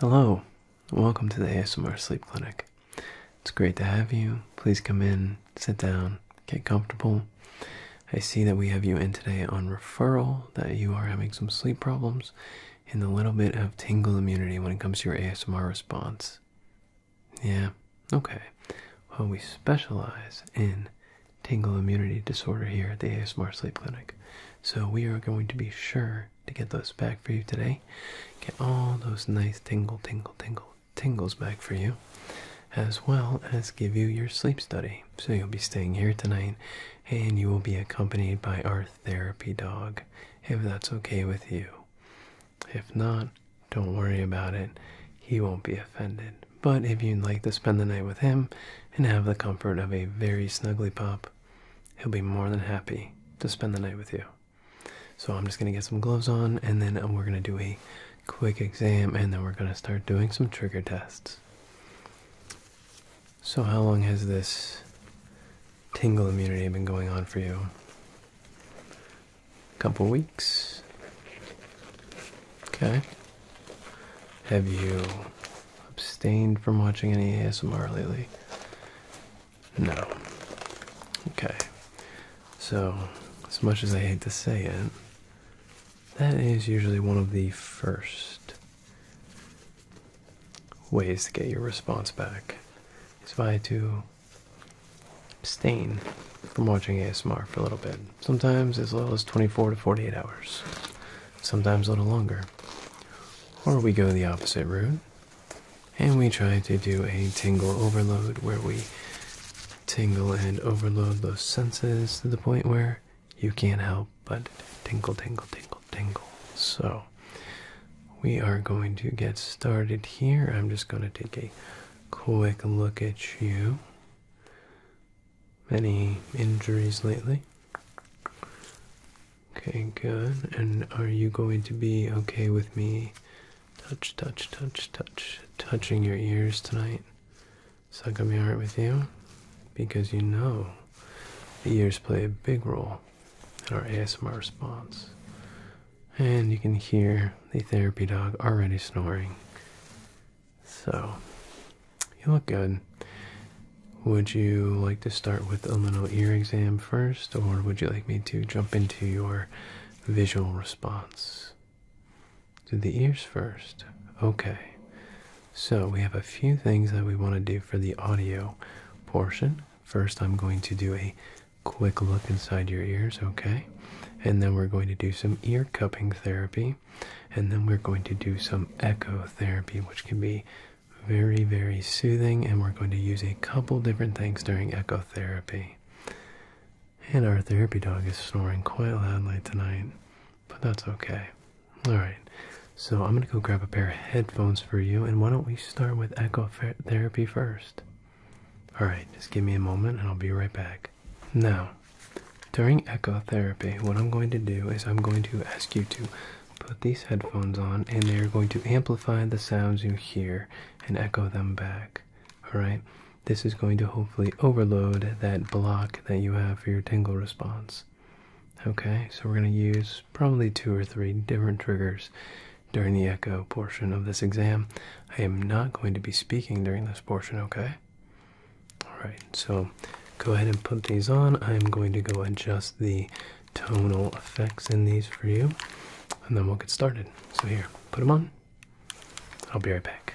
Hello, welcome to the ASMR Sleep Clinic. It's great to have you. Please come in, sit down, get comfortable. I see that we have you in today on referral, that you are having some sleep problems, and a little bit of tingle immunity when it comes to your ASMR response. Yeah, okay. Well, we specialize in tingle immunity disorder here at the ASMR Sleep Clinic, so we are going to be sure to get those back for you today. Get all those nice tingle, tingle, tingle, tingles back for you, as well as give you your sleep study. So you'll be staying here tonight and you will be accompanied by our therapy dog, if that's okay with you. If not, don't worry about it. He won't be offended. But if you'd like to spend the night with him and have the comfort of a very snuggly pup he'll be more than happy to spend the night with you. So I'm just going to get some gloves on and then we're going to do a quick exam and then we're going to start doing some trigger tests. So how long has this tingle immunity been going on for you? A couple weeks. Okay. Have you abstained from watching any ASMR lately? No. Okay. So, as much as I hate to say it, that is usually one of the first ways to get your response back. Is by to abstain from watching ASMR for a little bit. Sometimes as little as 24 to 48 hours. Sometimes a little longer. Or we go the opposite route and we try to do a tingle overload where we tingle and overload those senses to the point where you can't help but tingle, tingle, tingle, tingle. So we are going to get started here. I'm just going to take a quick look at you. Any injuries lately? Okay, good. And are you going to be okay with me touch, touch, touch, touch, touching your ears tonight? Is that gonna with you? Because you know the ears play a big role in our asthma response. And you can hear the therapy dog already snoring. So, you look good. Would you like to start with a little ear exam first, or would you like me to jump into your visual response? to the ears first. Okay. So we have a few things that we want to do for the audio portion. First, I'm going to do a quick look inside your ears, okay? And then we're going to do some ear cupping therapy. And then we're going to do some echo therapy, which can be very, very soothing, and we're going to use a couple different things during echo therapy. And our therapy dog is snoring quite loudly tonight, but that's okay. All right, so I'm going to go grab a pair of headphones for you, and why don't we start with echo therapy first? All right, just give me a moment and I'll be right back. Now, during echo therapy, what I'm going to do is I'm going to ask you to put these headphones on and they're going to amplify the sounds you hear and echo them back. Alright? This is going to hopefully overload that block that you have for your tingle response. Okay, so we're going to use probably two or three different triggers during the echo portion of this exam. I am not going to be speaking during this portion, okay? Alright, so go ahead and put these on. I'm going to go adjust the tonal effects in these for you, and then we'll get started. So, here, put them on. I'll be right back.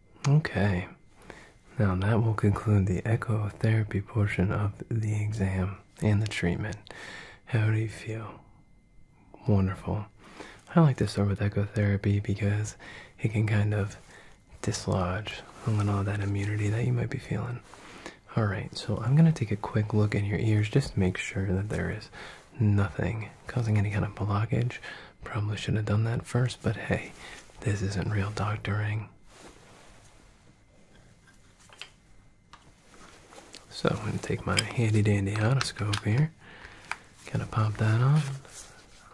Okay, now that will conclude the echo therapy portion of the exam and the treatment. How do you feel? Wonderful. I like to start with echo therapy because it can kind of dislodge a little of that immunity that you might be feeling. Alright, so I'm going to take a quick look in your ears just to make sure that there is nothing causing any kind of blockage. Probably should have done that first, but hey, this isn't real doctoring. So I'm going to take my handy dandy otoscope here. Kind to pop that on.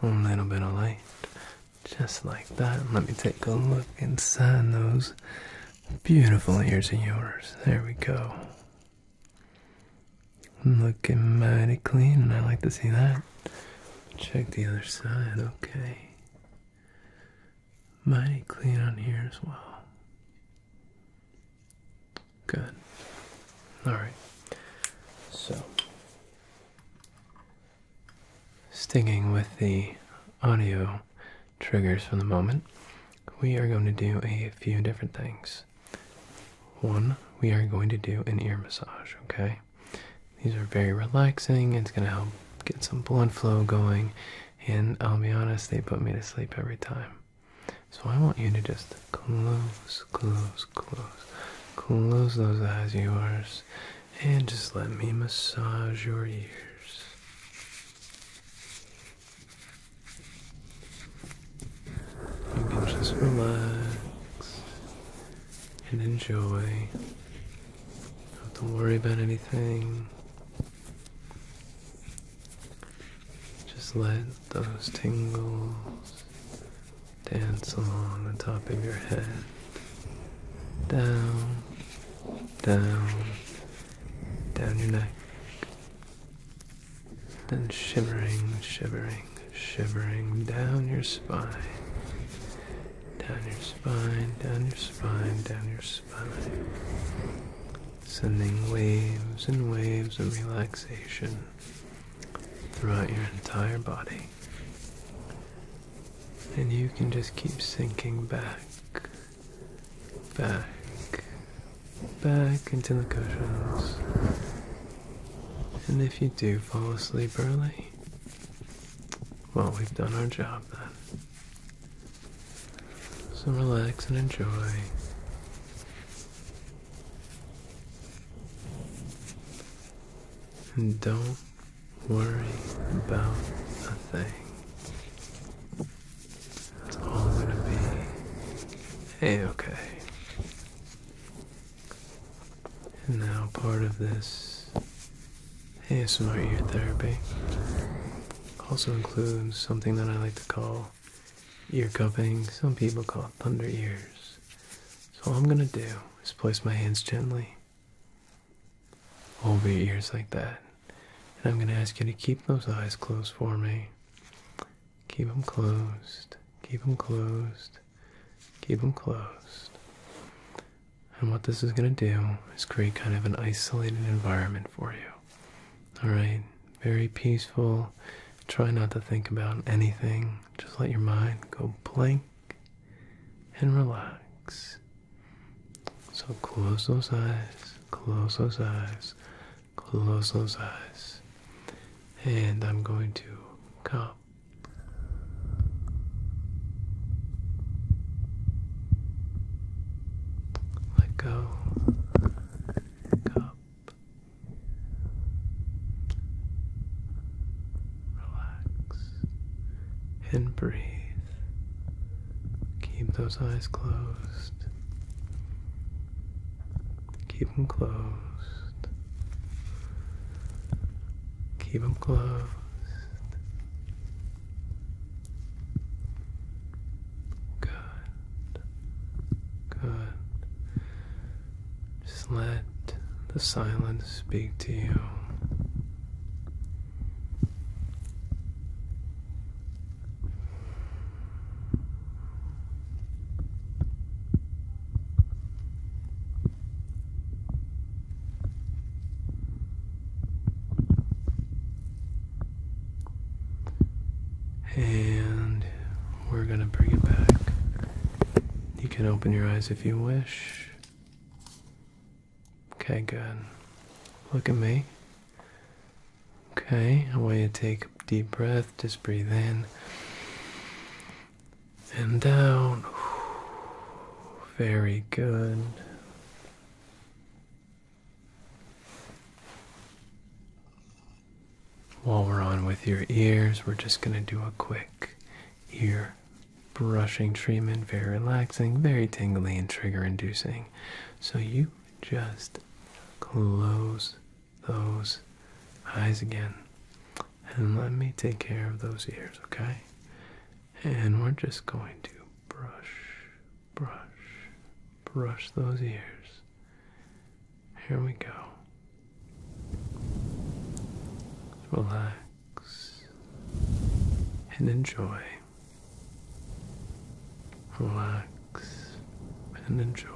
A little bit of light. Just like that. Let me take a look inside those beautiful ears of yours. There we go. Looking mighty clean, and I like to see that. Check the other side, okay mighty clean on here as well. Good. All right. So, stinging with the audio triggers for the moment, we are going to do a few different things. One, we are going to do an ear massage, okay? These are very relaxing. It's gonna help get some blood flow going, and I'll be honest, they put me to sleep every time. So I want you to just close, close, close, close those eyes of yours, and just let me massage your ears. You can just relax and enjoy. Don't worry about anything. Just let those tingles dance along the top of your head. Down, down, down your neck. Then shivering, shivering, shivering down your spine down your spine, down your spine, down your spine. Sending waves and waves of relaxation throughout your entire body. And you can just keep sinking back, back, back into the cushions. And if you do fall asleep early, well, we've done our job then. So relax and enjoy. And don't worry about a thing. That's all gonna be. Hey, okay and now part of this ASMR ear therapy also includes something that I like to call ear cupping. Some people call it thunder ears. So all I'm gonna do is place my hands gently over your ears like that. And I'm gonna ask you to keep those eyes closed for me. Keep them closed. Keep them closed keep them closed. And what this is going to do is create kind of an isolated environment for you. All right, very peaceful. Try not to think about anything. Just let your mind go blank and relax. So close those eyes, close those eyes, close those eyes. And I'm going to come. Let go. up. Relax and breathe. Keep those eyes closed. Keep them closed. Keep them closed. Good. Good. Just let the silence speak to you. And we're going to bring it back. You can open your eyes if you wish. Okay, good. Look at me. Okay, I want you to take a deep breath. Just breathe in and down. Very good. While we're on with your ears, we're just going to do a quick ear brushing treatment. Very relaxing, very tingly, and trigger inducing. So you just close those eyes again and let me take care of those ears, okay? And we're just going to brush, brush, brush those ears. Here we go. Relax and enjoy. Relax and enjoy.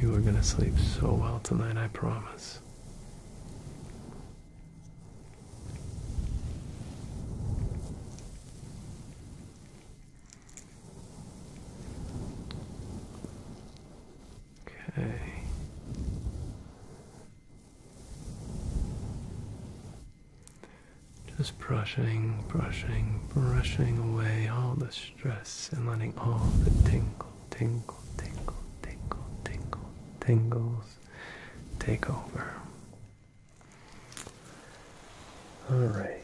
You are going to sleep so well tonight, I promise. Okay. Just brushing, brushing, brushing away all the stress and letting all the tingle, tingle, tingle, tingle, tingle, tingles take over. All right.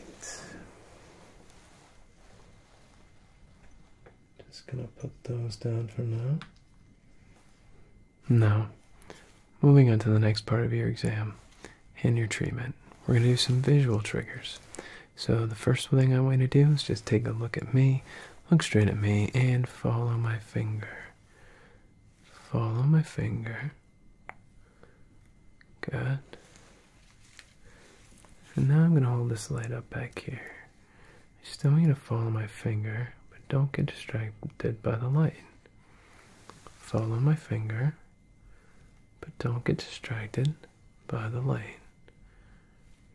Just gonna put those down for now. Now, moving on to the next part of your exam and your treatment, we're gonna do some visual triggers. So, the first thing I want you to do is just take a look at me, look straight at me, and follow my finger. Follow my finger. Good. And now I'm going to hold this light up back here. I still need to follow my finger, but don't get distracted by the light. Follow my finger, but don't get distracted by the light.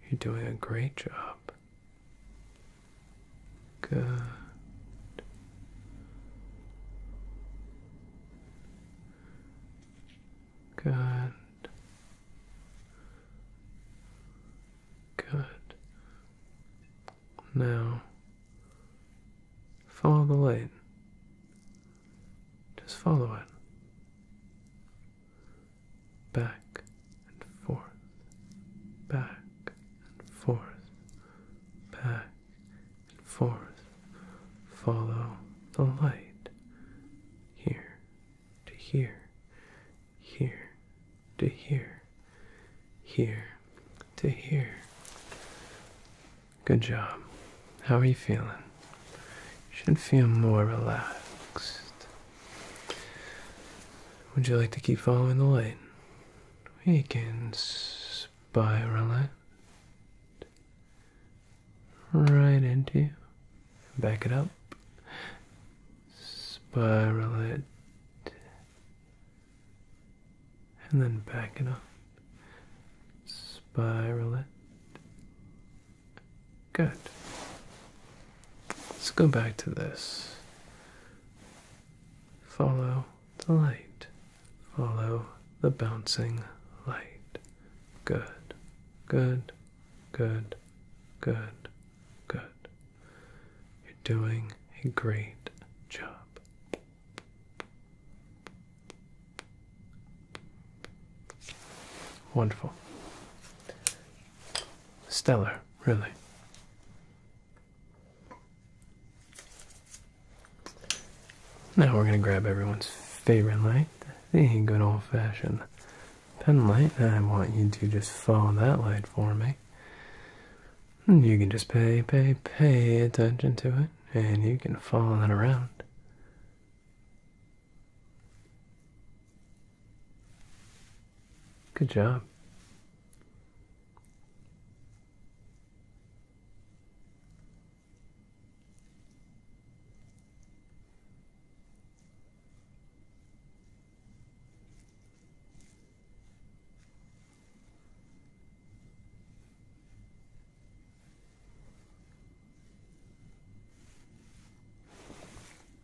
You're doing a great job. Good. Good. Good. Now, follow the light. Just follow it. Back and forth, back and forth, back and forth. Follow the light. Here to here, here to here, here to here. Good job. How are you feeling? You should feel more relaxed. Would you like to keep following the light? We can spiral it right into you. Back it up spiral it, and then back it up, spiral it. Good. Let's go back to this. Follow the light. Follow the bouncing light. Good, good, good, good, Good. You're doing a great job. Wonderful. Stellar, really. Now we're going to grab everyone's favorite light, They ain't good old fashioned pen light, I want you to just follow that light for me. you can just pay, pay, pay attention to it, and you can follow it around. Good job.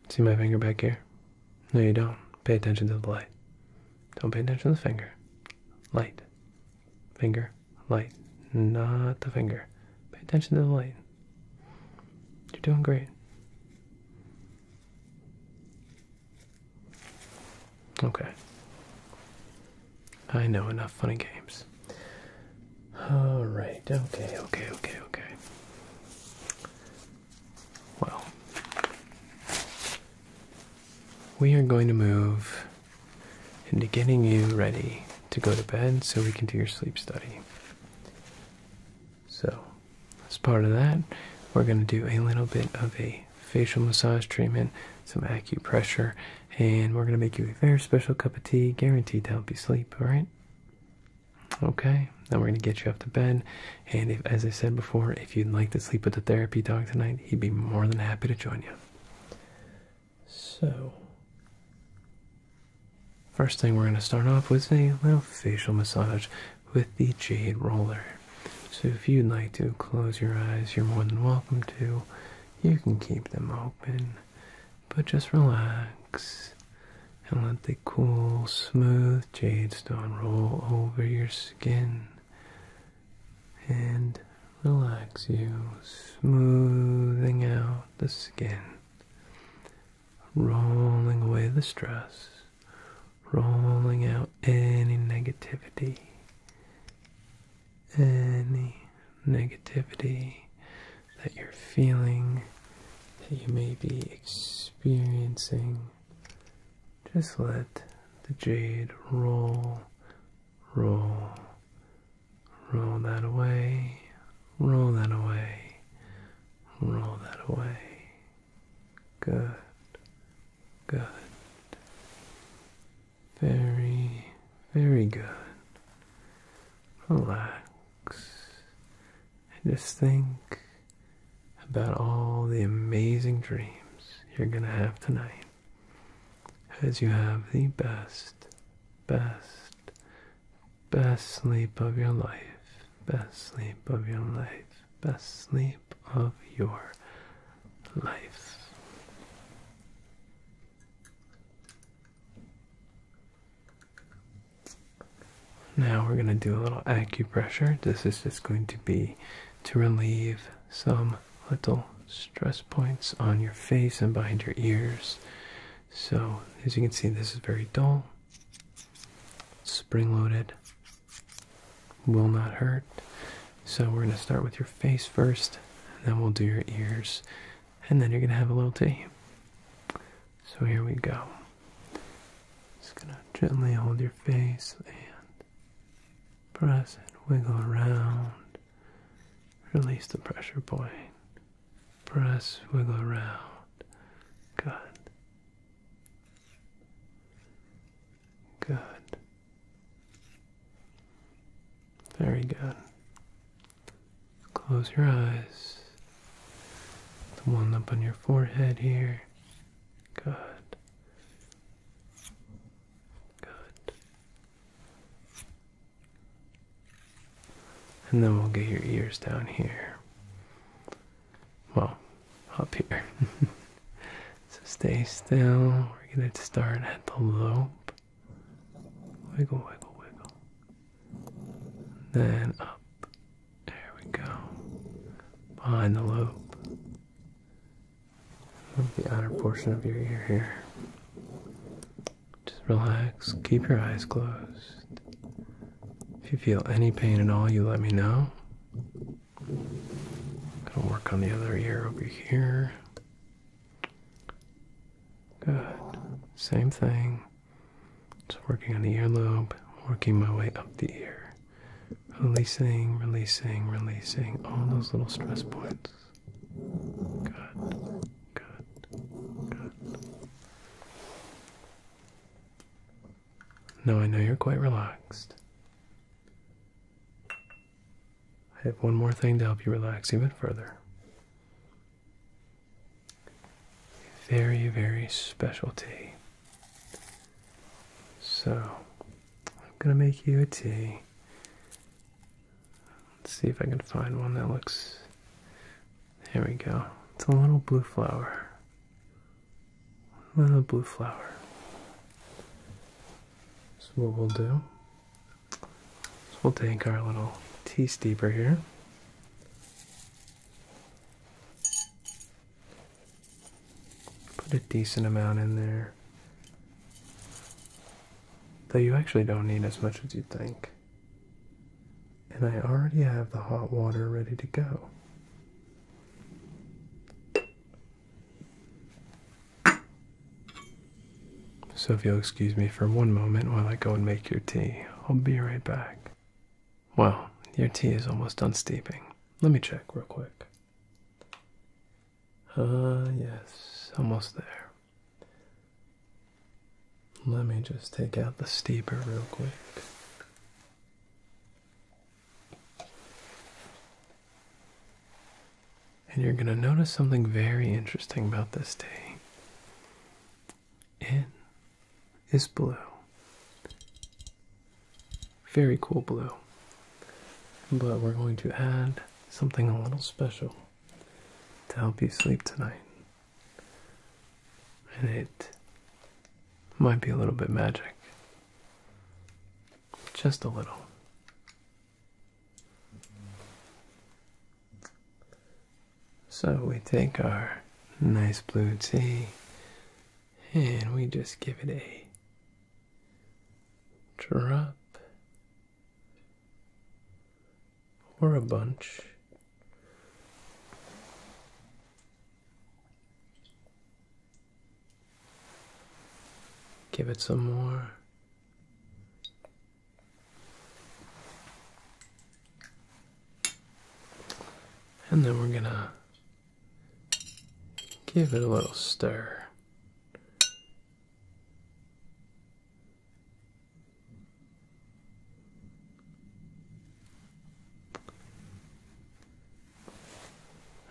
See my finger back here? No, you don't. Pay attention to the light. Don't pay attention to the finger. Light. Finger. Light. Not the finger. Pay attention to the light. You're doing great. Okay. I know enough funny games. All right. Okay. Okay. Okay. Okay. Well, we are going to move into getting you ready to go to bed so we can do your sleep study. So, as part of that, we're going to do a little bit of a facial massage treatment, some acupressure, and we're going to make you a very special cup of tea, guaranteed to help you sleep, alright? Okay, now we're going to get you up to bed, and as I said before, if you'd like to sleep with the therapy dog tonight, he'd be more than happy to join you. So, First thing we're going to start off with is a little facial massage with the jade roller. So if you'd like to close your eyes, you're more than welcome to. You can keep them open, but just relax and let the cool, smooth jade stone roll over your skin and relax you, smoothing out the skin rolling away the stress, rolling out any negativity, any negativity that you're feeling, that you may be experiencing. Just let the jade roll, roll, roll that away, roll that away, Roll that away. Good. Good. Very, very good. Relax. And just think about all the amazing dreams you're going to have tonight. As you have the best, best, Best sleep of your life. Best sleep of your life. Best sleep of your life. Now we're going to do a little acupressure. This is just going to be to relieve some little stress points on your face and behind your ears. So, as you can see, this is very dull spring loaded, will not hurt. So, we're going to start with your face first, and then we'll do your ears, and then you're going to have a little tea. So, here we go. Just going to gently hold your face and press it, wiggle around, release the pressure point press, wiggle around. Good. Good. Very good. Close your eyes. The one up on your forehead here. Good. Good. And then we'll get your ears down here. Well, up here. so stay still. We're going to start at the loop. Wiggle, wiggle, wiggle. Then up. There we go. Behind the loop. the outer portion of your ear here. Just relax. Keep your eyes closed. If you feel any pain at all, you let me know. Gonna work on the other ear over here. Good. Same thing. Just working on the earlobe, working my way up the ear. Releasing, releasing, releasing all those little stress points. Good, good, good. No, I know you're quite relaxed. I have one more thing to help you relax even further. very, very specialty. So, I'm gonna make you a tea. Let's see if I can find one that looks there we go. It's a little blue flower. A little blue flower. So what we'll do is we'll take our little tea steeper here. Put a decent amount in there. Though you actually don't need as much as you think. And I already have the hot water ready to go. So, if you'll excuse me for one moment while I go and make your tea, I'll be right back. Well, your tea is almost done steeping. Let me check real quick. Ah, uh, yes, almost there. Let me just take out the steeper real quick. And you're going to notice something very interesting about this day. It is blue. Very cool blue. But we're going to add something a little special to help you sleep tonight and it might be a little bit magic. Just a little. So we take our nice blue tea and we just give it a drop or a bunch. Give it some more. And then we're gonna give it a little stir.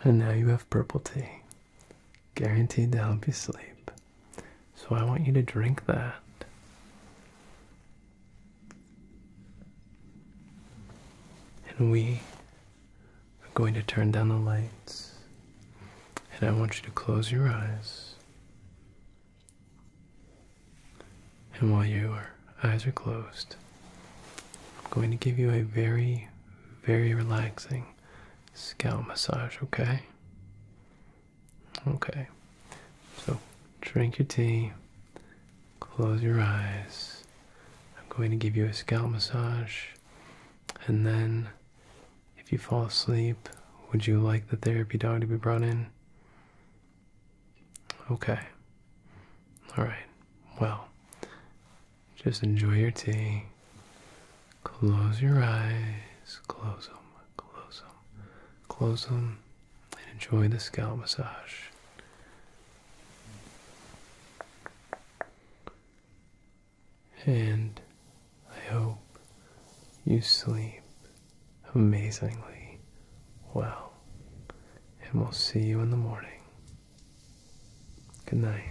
And now you have purple tea, guaranteed to help you sleep. So I want you to drink that. And we are going to turn down the lights. And I want you to close your eyes. And while your eyes are closed, I'm going to give you a very, very relaxing scalp massage, okay? Okay. So drink your tea, close your eyes. I'm going to give you a scalp massage, and then if you fall asleep, would you like the therapy dog to be brought in? Okay. All right. Well, just enjoy your tea. Close your eyes. Close them. Close them. Close them and enjoy the scalp massage. And I hope you sleep amazingly well. And we'll see you in the morning. Good night.